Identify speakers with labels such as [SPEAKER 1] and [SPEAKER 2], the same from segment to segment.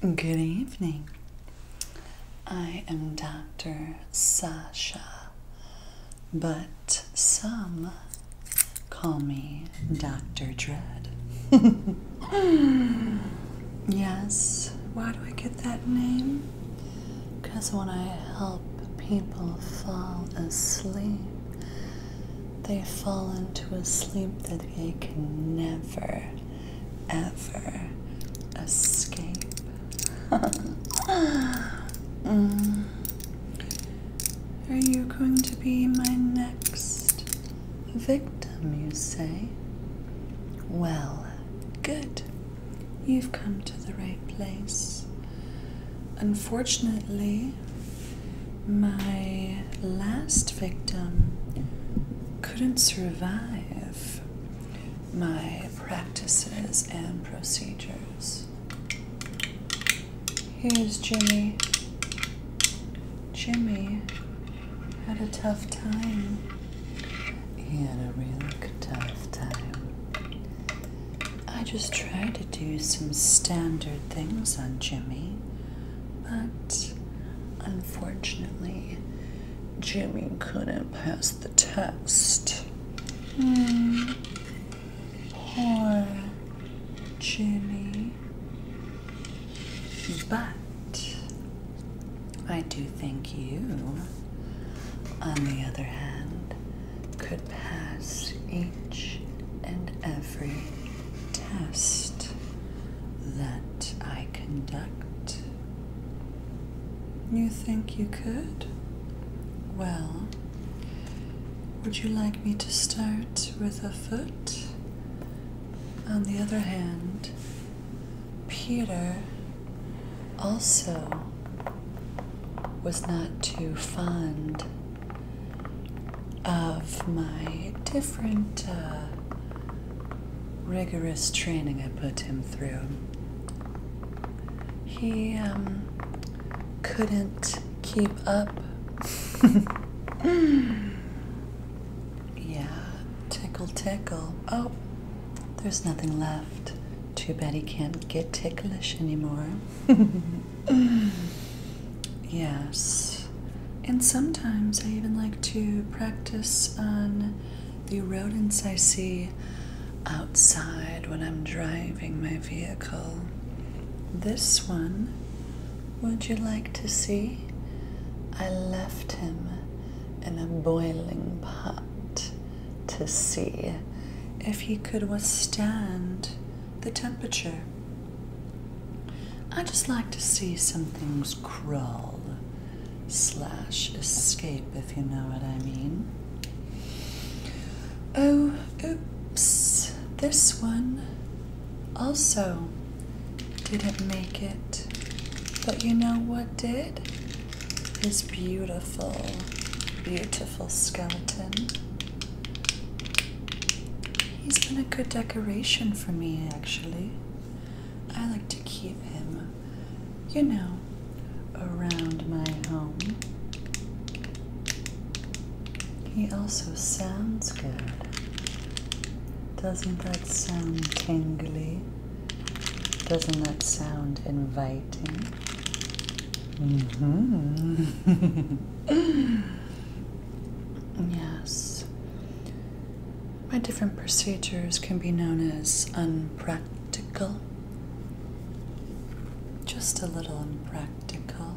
[SPEAKER 1] Good evening. I am Dr. Sasha, but some call me Dr. Dread. yes, why do I get that name? Because when I help people fall asleep, they fall into a sleep that they can never, ever escape. Mm. Are you going to be my next victim, you say? Well, good. You've come to the right place. Unfortunately, my last victim couldn't survive my practices and procedures. Here's Jimmy. Jimmy had a tough time. He had a real tough time. I just tried to do some standard things on Jimmy but unfortunately, Jimmy couldn't pass the test. Hmm. Poor Jimmy. But I do think you, on the other hand, could pass a each and every test that I conduct. You think you could? Well, would you like me to start with a foot? On the other hand, Peter also was not too fond of my different uh, rigorous training I put him through, he um, couldn't keep up. yeah, tickle, tickle. Oh, there's nothing left. Too bad he can't get ticklish anymore. yes. And sometimes I even like to practice on the rodents I see outside when I'm driving my vehicle. This one, would you like to see? I left him in a boiling pot to see if he could withstand the temperature. I just like to see some things crawl slash escape, if you know what I mean. Oh, oops, this one also didn't make it. But you know what did? His beautiful, beautiful skeleton. He's been a good decoration for me, actually. I like to keep him, you know, around my home. He also sounds good. Doesn't that sound tingly? Doesn't that sound inviting? hmm Yes. My different procedures can be known as unpractical. Just a little unpractical.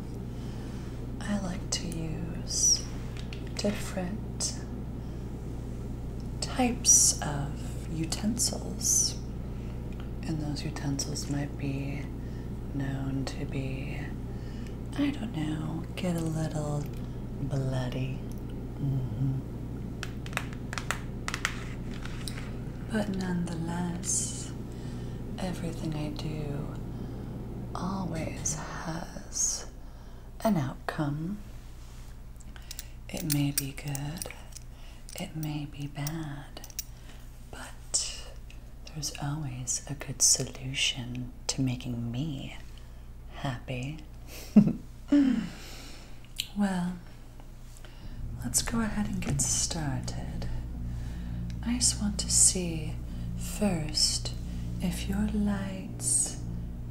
[SPEAKER 1] I like to use different types of utensils, and those utensils might be known to be, I don't know, get a little bloody. Mm-hmm. But nonetheless, everything I do always has an outcome. It may be good, it may be bad, but there's always a good solution to making me happy. well, let's go ahead and get started. I just want to see first if your lights,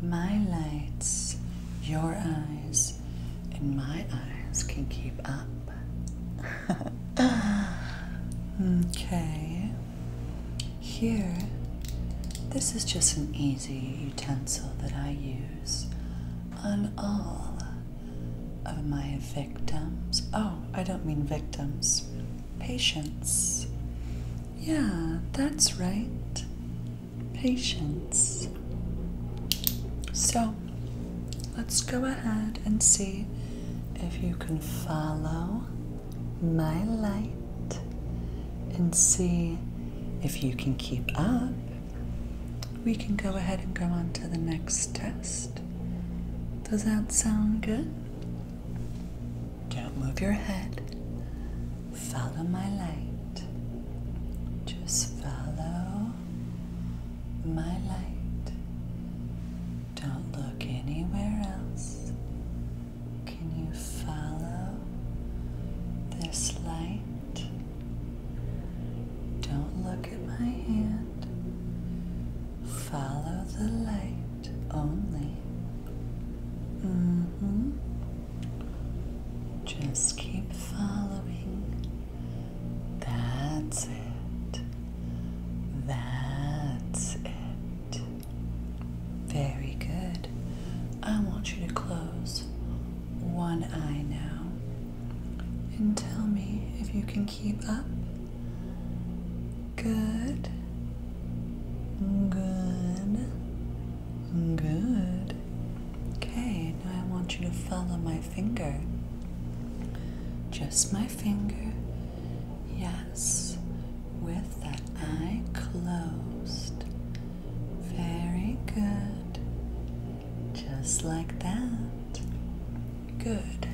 [SPEAKER 1] my lights, your eyes, and my eyes can keep up okay. Here, this is just an easy utensil that I use on all of my victims. Oh, I don't mean victims, patients. Yeah, that's right. Patience. So let's go ahead and see if you can follow my light and see if you can keep up, we can go ahead and go on to the next test. Does that sound good? Don't move your head. Follow my light. Just follow my light. Don't look anywhere else. Can you follow this light? Don't look at my hand. Follow the light only. Mm hmm. Just keep following that's it. That's it. Very good. I want you to close one eye now and tell me if you can keep up. Good. Good. Good. Okay, now I want you to follow my finger. Just my finger. Yes, with that eye closed. Very good. Just like that. Good.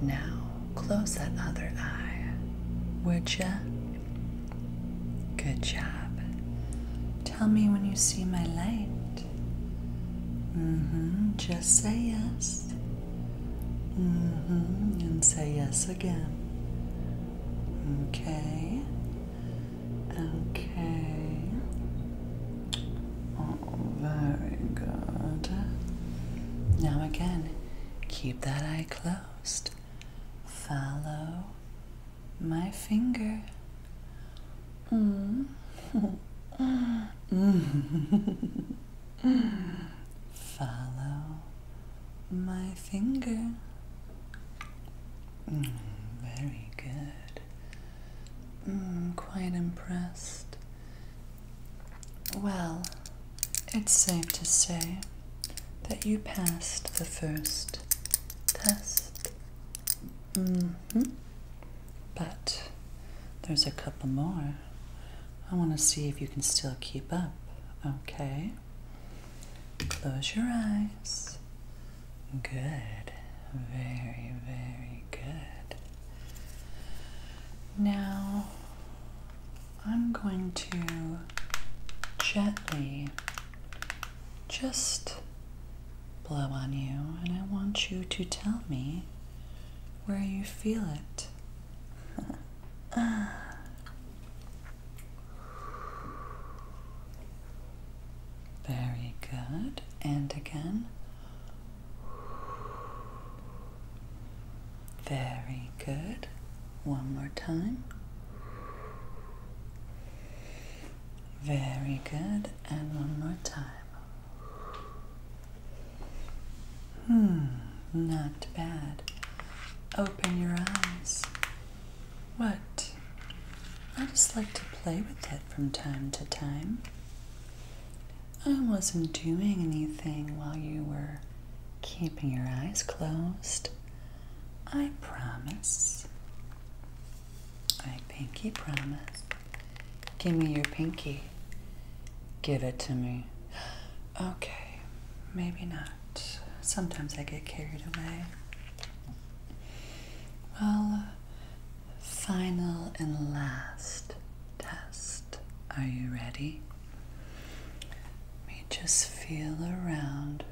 [SPEAKER 1] Now close that other eye, would you? Good job. Tell me when you see my light. Mm-hmm. Just say yes. Mm-hmm. And say yes again. Okay. Okay. Oh, very good. Now again, keep that eye closed. Follow my finger. Mm. Follow my finger. Mm, very good. Mm, quite impressed. Well, it's safe to say that you passed the first test. Mm-hmm. But there's a couple more. I want to see if you can still keep up. Okay. Close your eyes. Good. Very, very good. Now, I'm going to gently just blow on you, and I want you to tell me where you feel it. Very good. And again. Very good. One more time. Very good. And one more time. Hmm, not bad. Open your eyes. What? I just like to play with it from time to time. I wasn't doing anything while you were keeping your eyes closed. I promise. I pinky promise. Give me your pinky. Give it to me. Okay, maybe not. Sometimes I get carried away. Well, final and last test. Are you ready? Let me just feel around.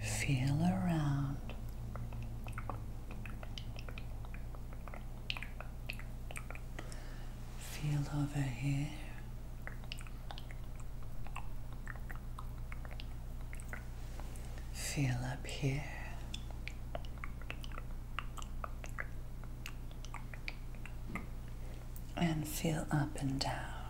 [SPEAKER 1] Feel around. Feel over here. Feel up here. And feel up and down.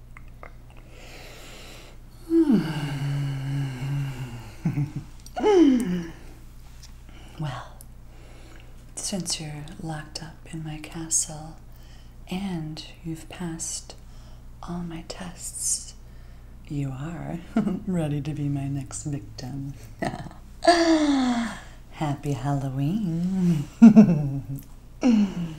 [SPEAKER 1] well, since you're locked up in my castle and you've passed all my tests, you are ready to be my next victim. Happy Halloween.